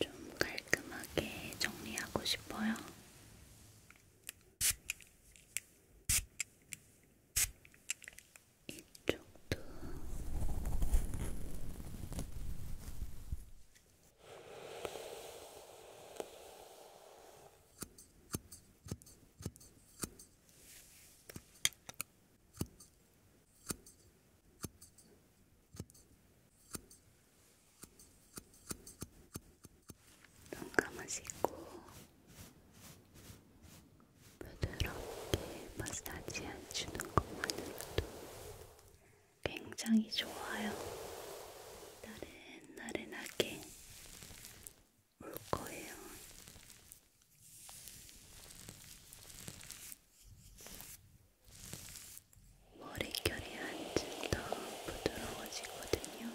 좀 깔끔하게 정리하고 싶어요. 이쪽도 눈 감으시고 부드럽게 마사지 해주는 것만으로도 굉장히 좋아요. 나른나른하게 올 거예요. 머릿결이 한층 더 부드러워지거든요.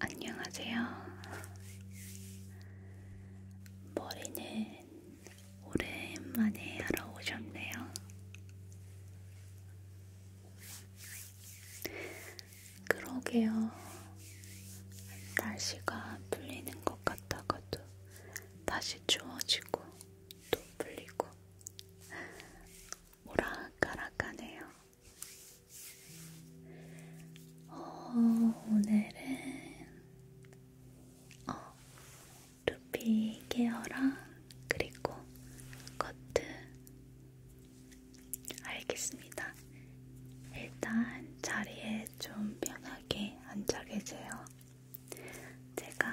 안녕하세요. 머리는 오랜만에 하러 오셨네요. 그러게요. 날씨가 풀리는 것 같다가도 다시 추워지고 또 풀리고 오락가락하네요. 어, 오늘은 어, 두피 케어랑 그리고 커트 알겠습니다. 일단 자리에 좀 편하게 앉아 계세요. 제가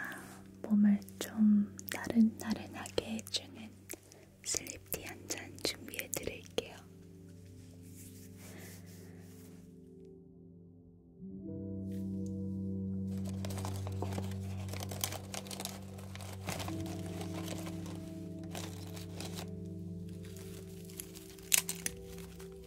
몸을 좀 나른나른하게 해주는 슬립티 한 잔 준비해 드릴게요.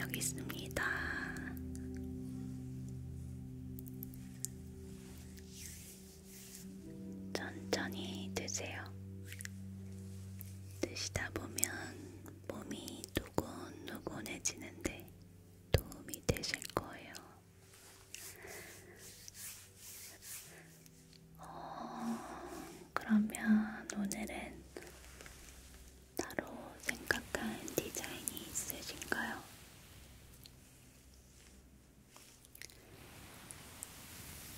여기 있습니다. 천천히 드세요. 드시다 보면 몸이 노곤노곤해지는데 도움이 되실 거예요. 어, 그러면 오늘은 따로 생각한 디자인이 있으신가요?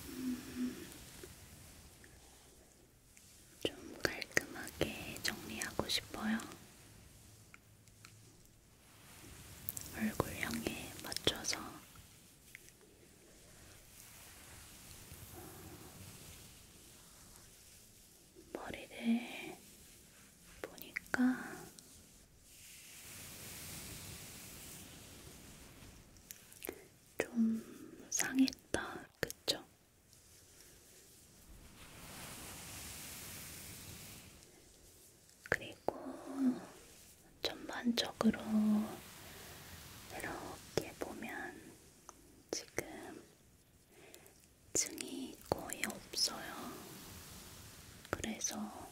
음, 좀 깔끔하게 정리하고 싶어요. 얼굴형에 맞춰서 머리를 보니까 좀 상했다, 그쵸? 그리고 전반적으로 이렇게 보면 지금 층이 거의 없어요. 그래서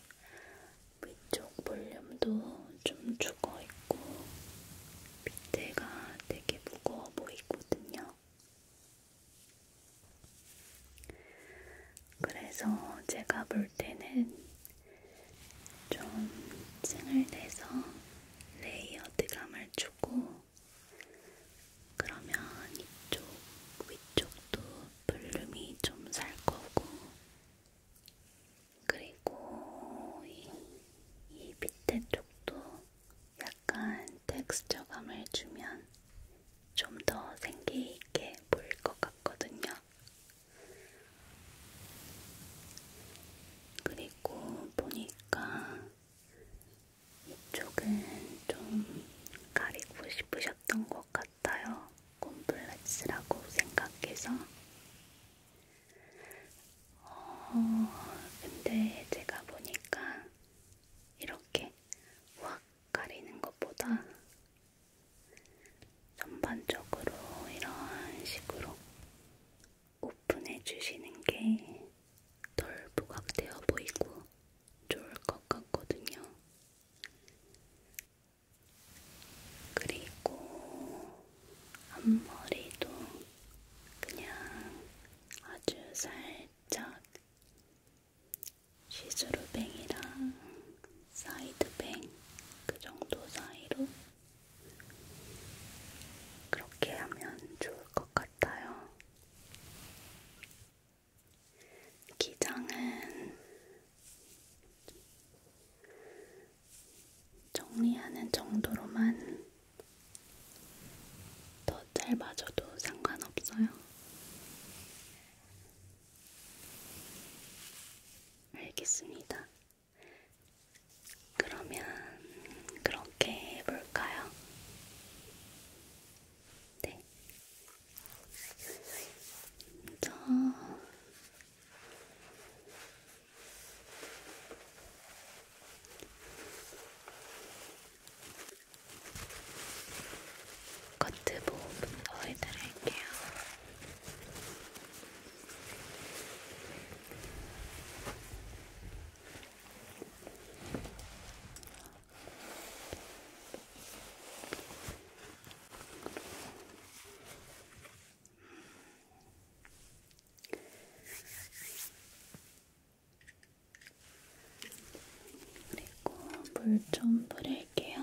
위쪽 볼륨도 좀 죽어 있고 밑에가 되게 무거워 보이거든요. 그래서 제가 볼 때는 좀 층을 내서 레이어드감을 주고 그러면 이쪽 위쪽도 볼륨이 좀 살 거고, 그리고 이, 이 밑에 쪽도 약간 텍스처감을 주면 좀 더 생기있게 보일 것 같거든요. 그리고 보니까 이쪽은 좀 가리고 싶으셨던 것 같아요. 콤플렉스라고 생각해서. 어, 근데 제가 보니까 이렇게 확 가리는 것보다 전반적으로 이런 식으로 오픈해 주시는 게 덜 부각되어 보이고 좋을 것 같거든요. 그리고 앞머리도 그냥 아주 살짝 시스루뱅이랑 사이드뱅 그 정도 사이로 그렇게 하면 좋을 좋을 것 같아요. 기장은 정리하는 정도로만 더 짧아져도 상관없어요. 알겠습니다. 그러면 그렇게 해볼까요? 네. 먼저 커트 보호부터 해드릴게요. 그리고 물 좀 뿌릴게요.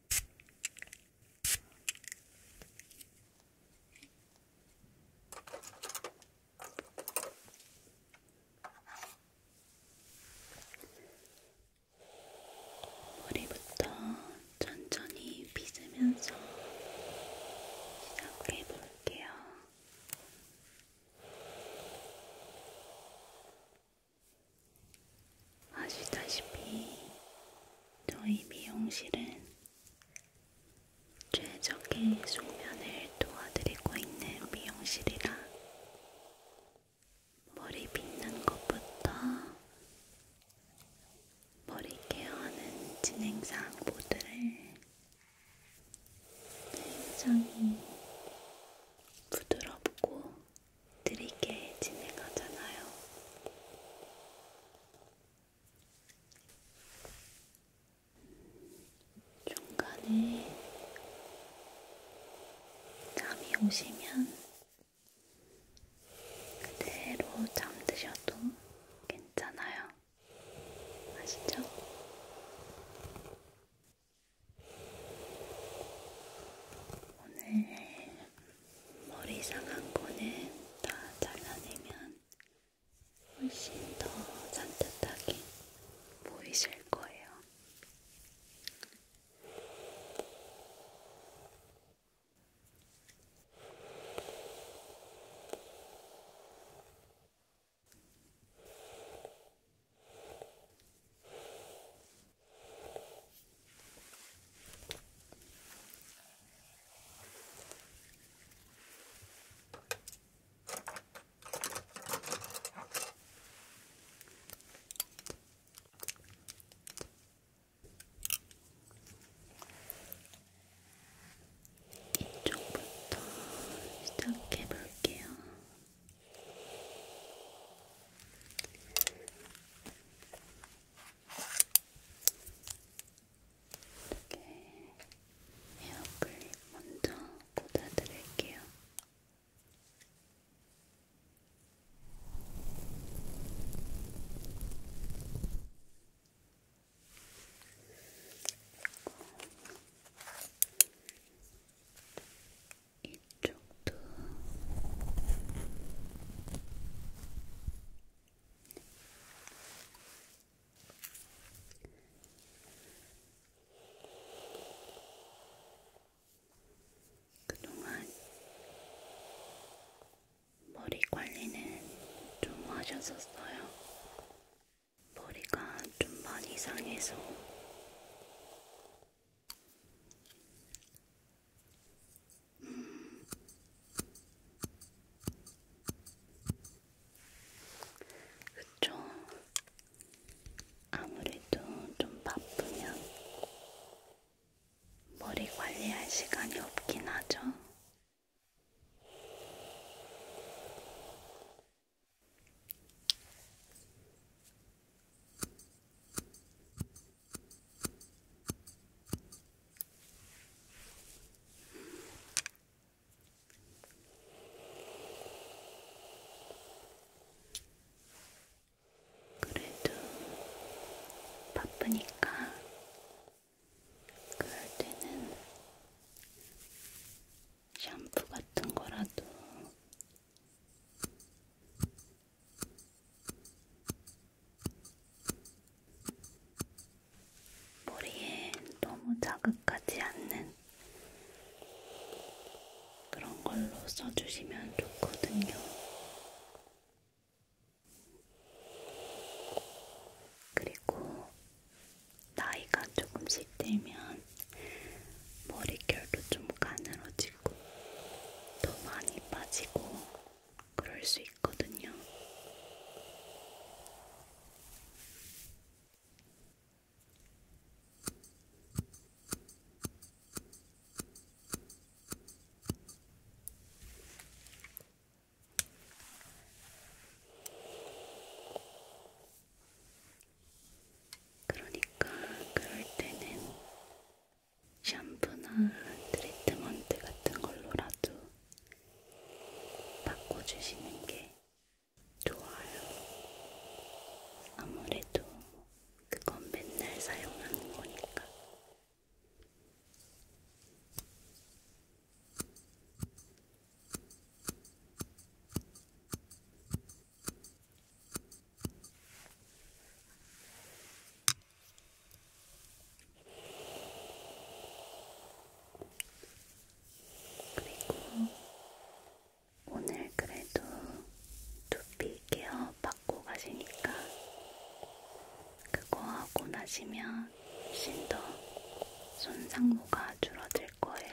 머리부터 천천히 빗으면서 시작해 볼게요. 아시다시피 저희 미용실은 최적의 숙면을 도와드리고 있는 미용실이라 머리 빗는 것부터 머리 케어하는 진행상 모두를 굉장히 부드럽고 느리게 진행하잖아요. 중간에 잠이 오시면 그대로 잠드셔도 괜찮아요. 아시죠? 오늘 머리 상한 거는 다 잘라내면 훨씬 더 산뜻하게 보이실 거예요. 이쪽부터 시작해 볼게요. 이렇게 에어클립 먼저 꽂아드릴게요. 이쪽도 그동안 머리 관리는 좀 하셨었어요. 머리가 좀 많이 상해서 그쵸? 아무래도 좀 바쁘면 머리 관리할 시간이 없긴 하죠. 그래도 바쁘니까 그럴 때는 샴푸 같은 거라도 머리에 너무 자극하지 않는 그런 걸로 써주시면 좋거든요. 그리고 나이가 조금씩 들면 머릿결도 좀 가늘어지고 빠지고 더 많이 빠지고 그럴 수 있거든요. 그러니까 그럴 때는 샴푸나 트리트먼트 같은 걸로라도 바꿔주시는 게 좋아요. 아무래도 그건 맨날 사용하는 거니까. 그리고 오늘 그래도 두피 케어 받고 가시니까 그거 하고 나시면 훨씬 더 손상모가 줄어들 거예요.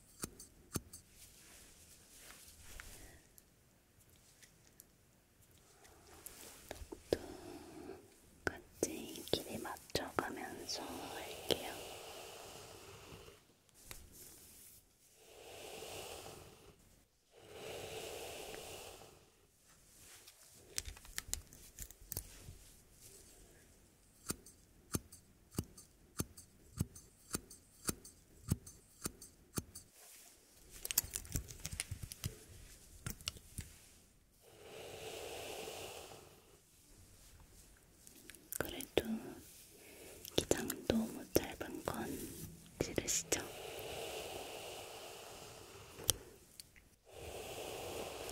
똑똑같이 길이 맞춰가면서 할게요. 그래도 기장 너무 짧은 건 싫으시죠?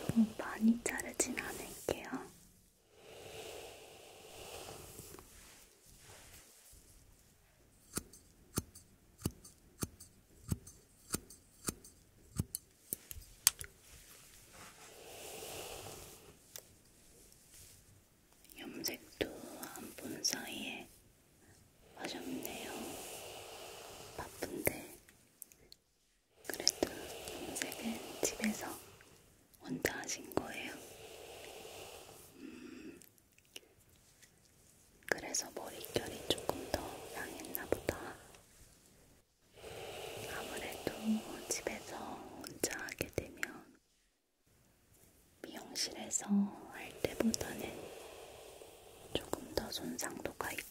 너무 많이 자르진 않을게요. 염색도 안본 사이에 하셨네요. 바쁜데 그래도 동생은 집에서 혼자 하신 거예요. 음, 그래서 머릿결이 조금 더 양했나 보다. 아무래도 뭐 집에서 혼자 하게 되면 미용실에서 할 때보다는 조금 더 손상도가 있죠.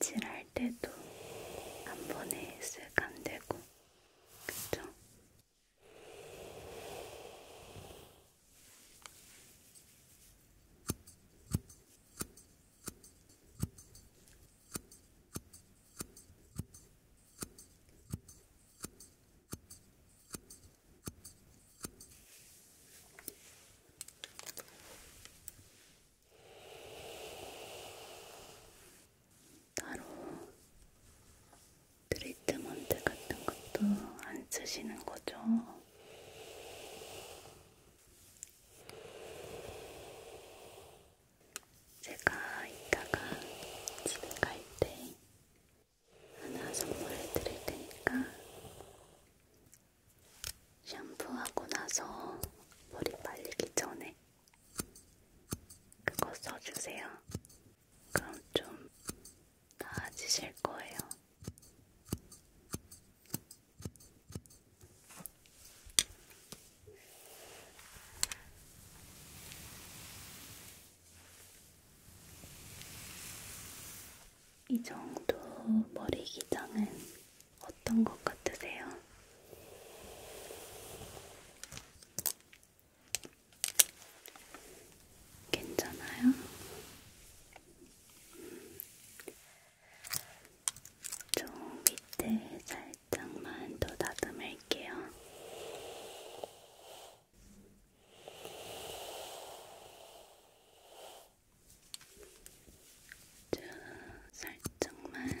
칠할 때도 한 번에 쓱 안되고 그쵸? 따로 트리트먼트 같은 것도 안 쓰시는 거죠? 제가 이따가 집에 갈 때 하나 선물해 드릴 테니까 샴푸하고 나서 머리 말리기 전에 그거 써주세요. 그럼 좀 나아지실 거예요. 이 정도 머리 기장은 어떤 것 같으세요? 괜찮아요? 좀 밑에 살짝만 더 다듬을게요. 쭉 살짝만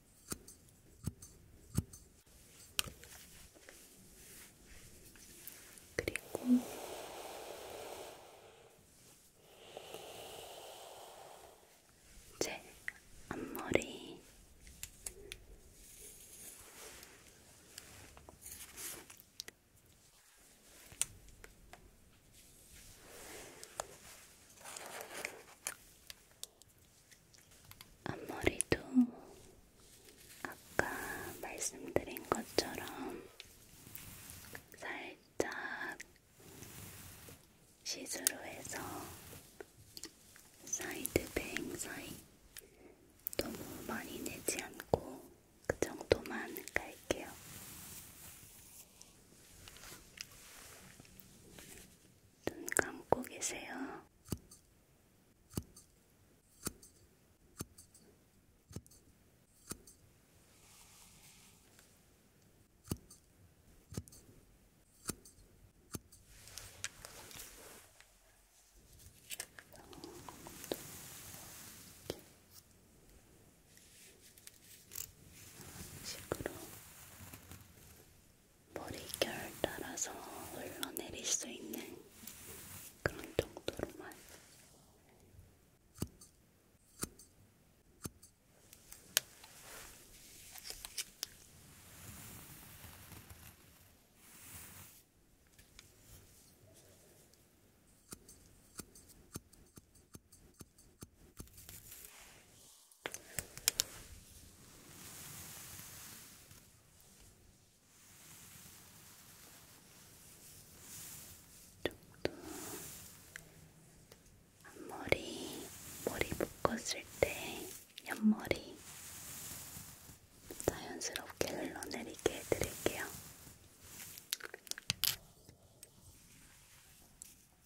그리고 제 앞머리 앞머리도 아까 말씀드린 것처럼 살짝 시스루 해서 사이드 뱅 사이 너무 많이 내지 않고 그 정도만 갈게요. 눈 감고 계세요. 이런 식으로 머리결 따라서 흘러내릴 수 있는 그런 정도로만 이쪽도 앞머리, 머리 묶었을 때 옆머리 자연스럽게 흘러내리게 해드릴게요.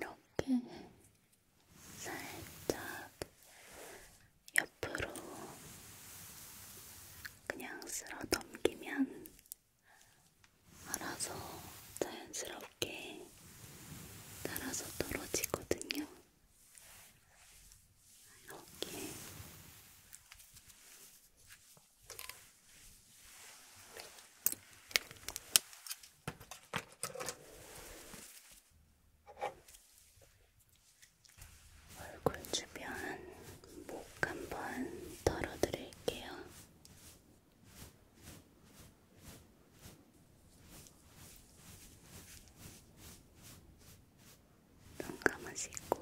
이렇게 살짝 옆으로 그냥 쓸어 넘기면 알아서 자연스럽게 따라서 떨어지거든요. 이렇게 얼굴 주변 목 한번 털어드릴게요. 눈 감으시고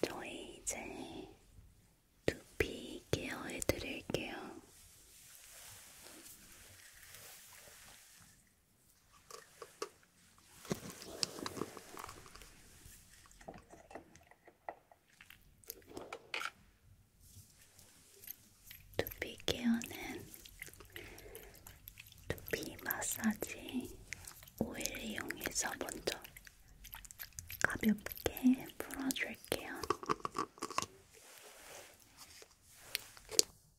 저희 이제 두피 케어해 드릴게요. 두피 케어는 두피 마사지 오일 이용해서 먼저 가볍게 풀어줄게요.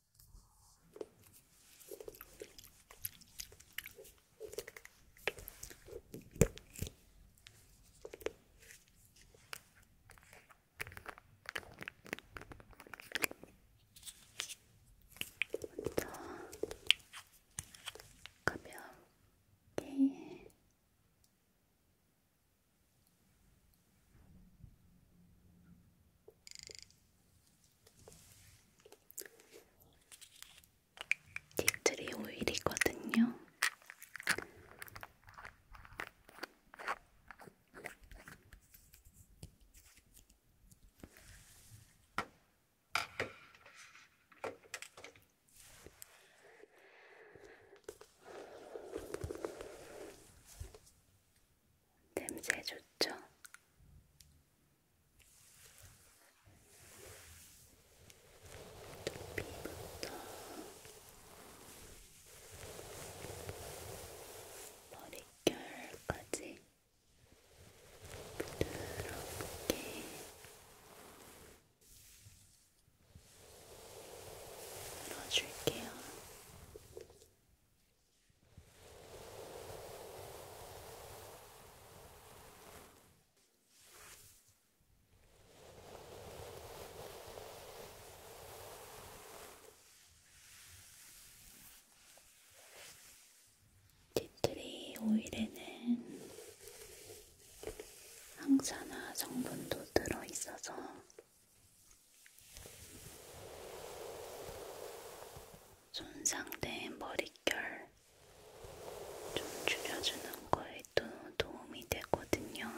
먼저 가볍게 딥트리 오일이거든요. 냄새 좋죠? 두피부터 머릿결까지 부드럽게 눌러줄게요. 티트리 오일에는 항산화 성분도 들어있어서 손상된 머릿결 좀 줄여주는 거에도 도움이 되거든요.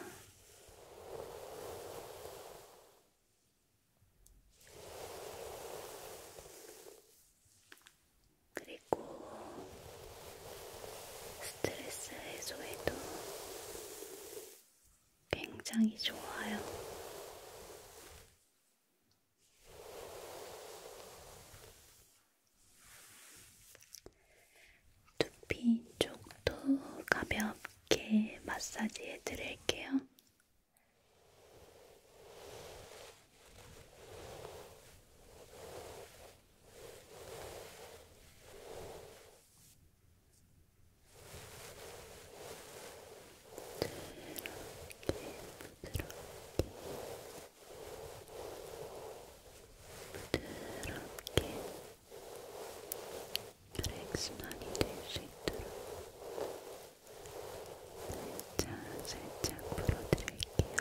그리고 스트레스 해소에도 굉장히 좋아요. 두피 쪽도 가볍게 마사지해 드릴게요. 혈액순환이 될 수 있도록 살짝 살짝 풀어드릴게요.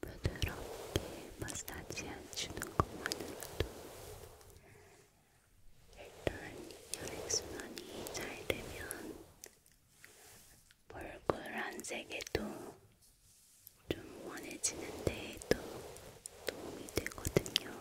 부드럽게 마사지 해주는 것만으로도 일단 혈액순환이 잘 되면 얼굴안색에도 좀 원해지는 데에도 도움이 되거든요.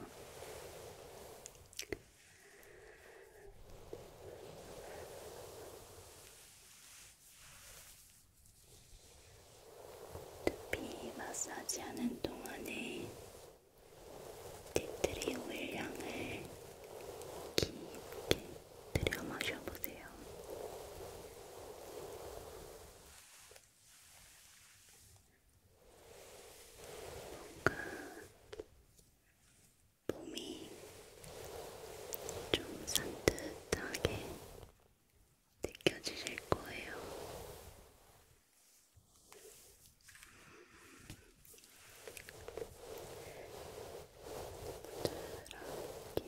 두피 마사지하는 동안에 티트리 오일 향을 깊게 들여 마셔보세요. 뭔가 몸이 좀 산뜻하게 느껴지실 거예요. 부드럽게 음,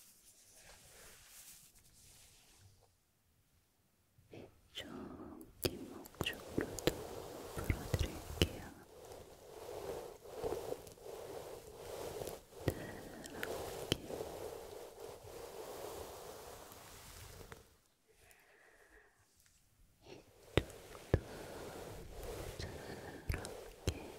이쪽 뒷목 쪽으로도 풀어드릴게요. 부드럽게. 이쪽도 부드럽게.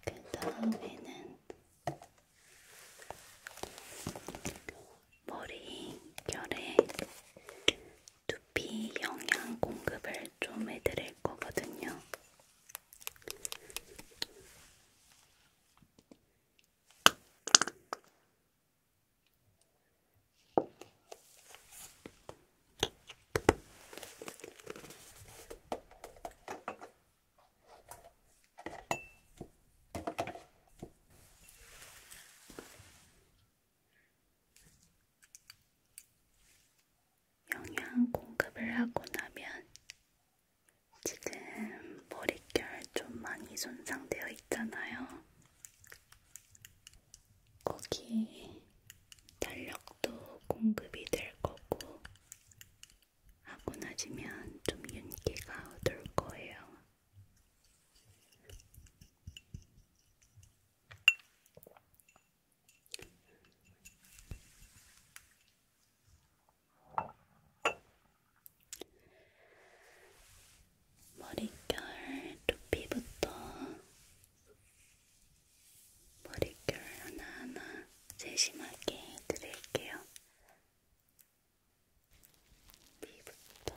그 다음에는 머리결에 두피 영양 공급을 좀 해드릴 거거든요. 영양 공급을 하고 나면 지금 머릿결 좀 많이 손상되어 있잖아요. 거기에 탄력도 공급이 될 거고 하고 나시면 좀 윤기가 얻을 거예요. 머릿결 두피부터 머릿결 하나하나 세심하게 해드릴게요. 두피부터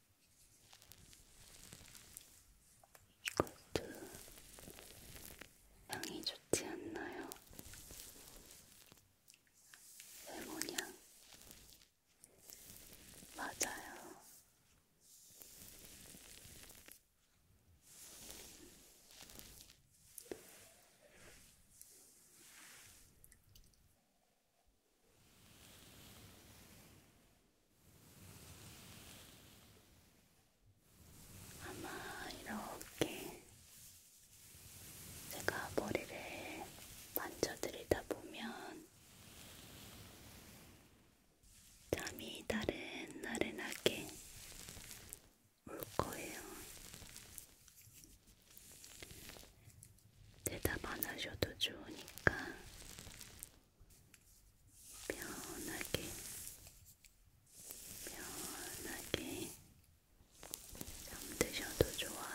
이것도 향이 좋지 않나요? 레몬향 맞아요. 아마 이렇게 제가 머리를 만져드리다 보면 잠이 다른 나른하게 올 거예요. 대답 안 하셔도 좋으니까 편하게, 편하게 잠드셔도 좋아요.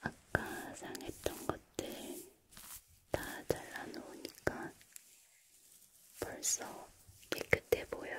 아까 상했던 것들 다 잘라놓으니까 벌써 깨끗해 보여요.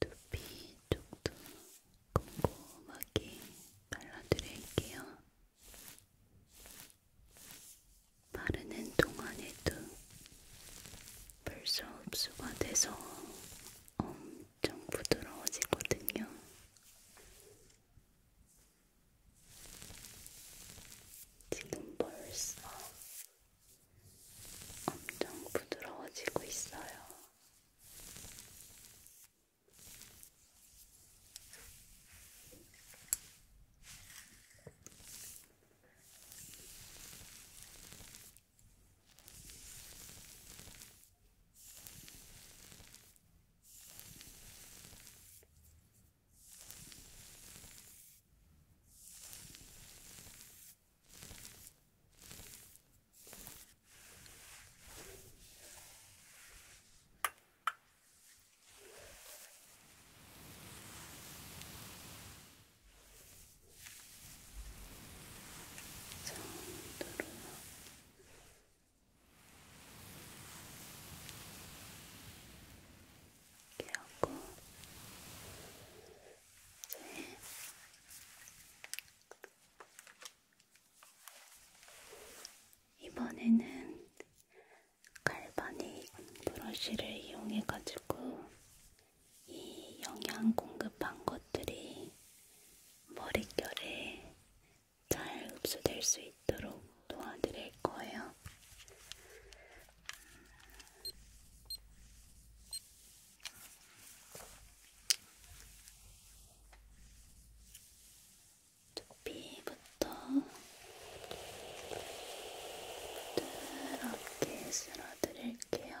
두피 쪽도 꼼꼼하게 발라드릴게요. 바르는 동안에도 벌써 흡수가 돼서 엄청 부드러워지거든요. 지금 벌써 엄청 부드러워지고 있어요. 깨우고 이번에는 갈바닉 브러쉬를 이용해가지고 이 영양 공급한 것들이 머릿결에 잘 흡수될 수 있도록 도와드릴 거예요. 두피부터 부드럽게 쓸어드릴게요.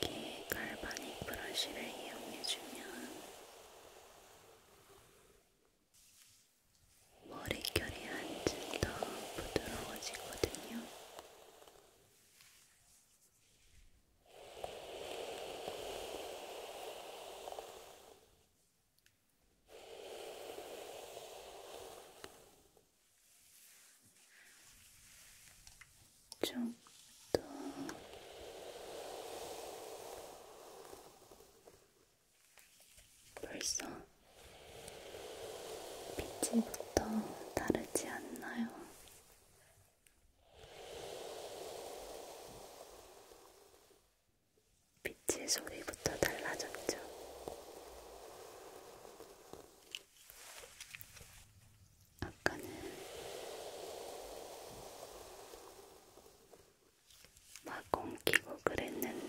이렇게 갈바닉 브러쉬를 이용해주면 머릿결이 한층 더 부드러워지거든요. 좀더 벌써 빛이부터 다르지 않나요? 빛의 소리부터 달라졌죠. 아까는 막 엉키고 그랬는데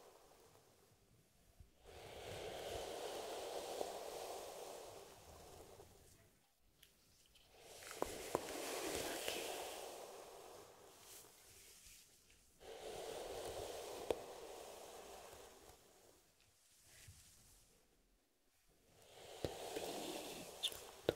눈 쪽도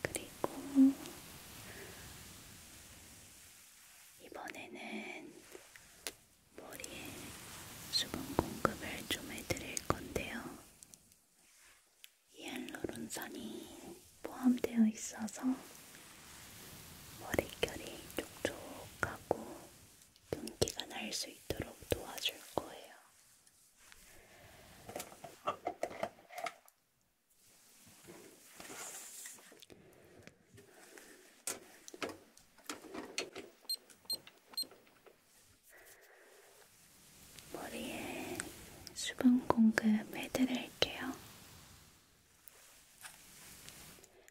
그리고 이번에는 머리에 수분 공급을 좀 해드릴 건데요. 히알루론산이 포함되어 있어서 머릿결이 촉촉하고 분기가 날 수 있도록 도와줄 거예요. 머리에 수분 공급 해드릴게요.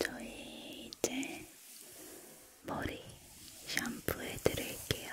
저희 이제 머리 샴푸해 드릴게요.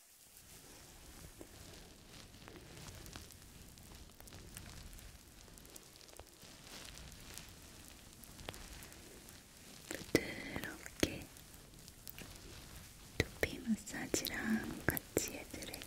부드럽게 두피 마사지랑 같이 해드릴게요.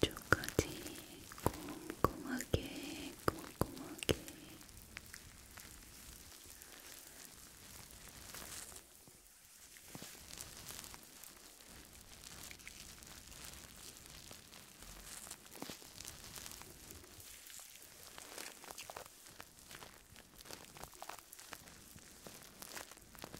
뒤쪽까지 꼼꼼하게 꼼꼼하게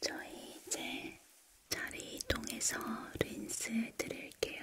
저희 이제 자리 이동해서 린스 드릴게요.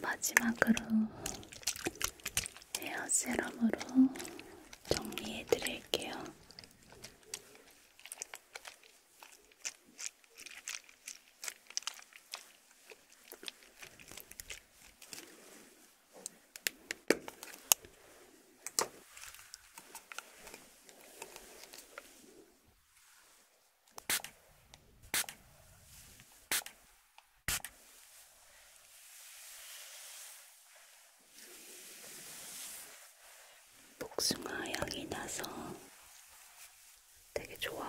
마지막으로 헤어 세럼으로 정리해 드릴게요. 복숭아 향이 나서 되게 좋아요.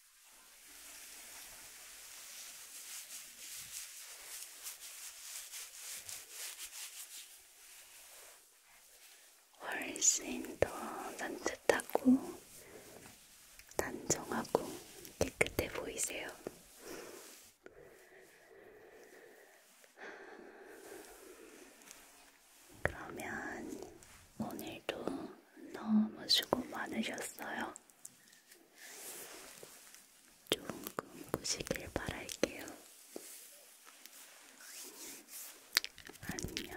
훨씬 더 산뜻하고 단정하고 깨끗해 보이세요. 그러면 오늘도 너무 수고 많으셨어요. 좋은 꿈 꾸시길 바랄게요. 안녕.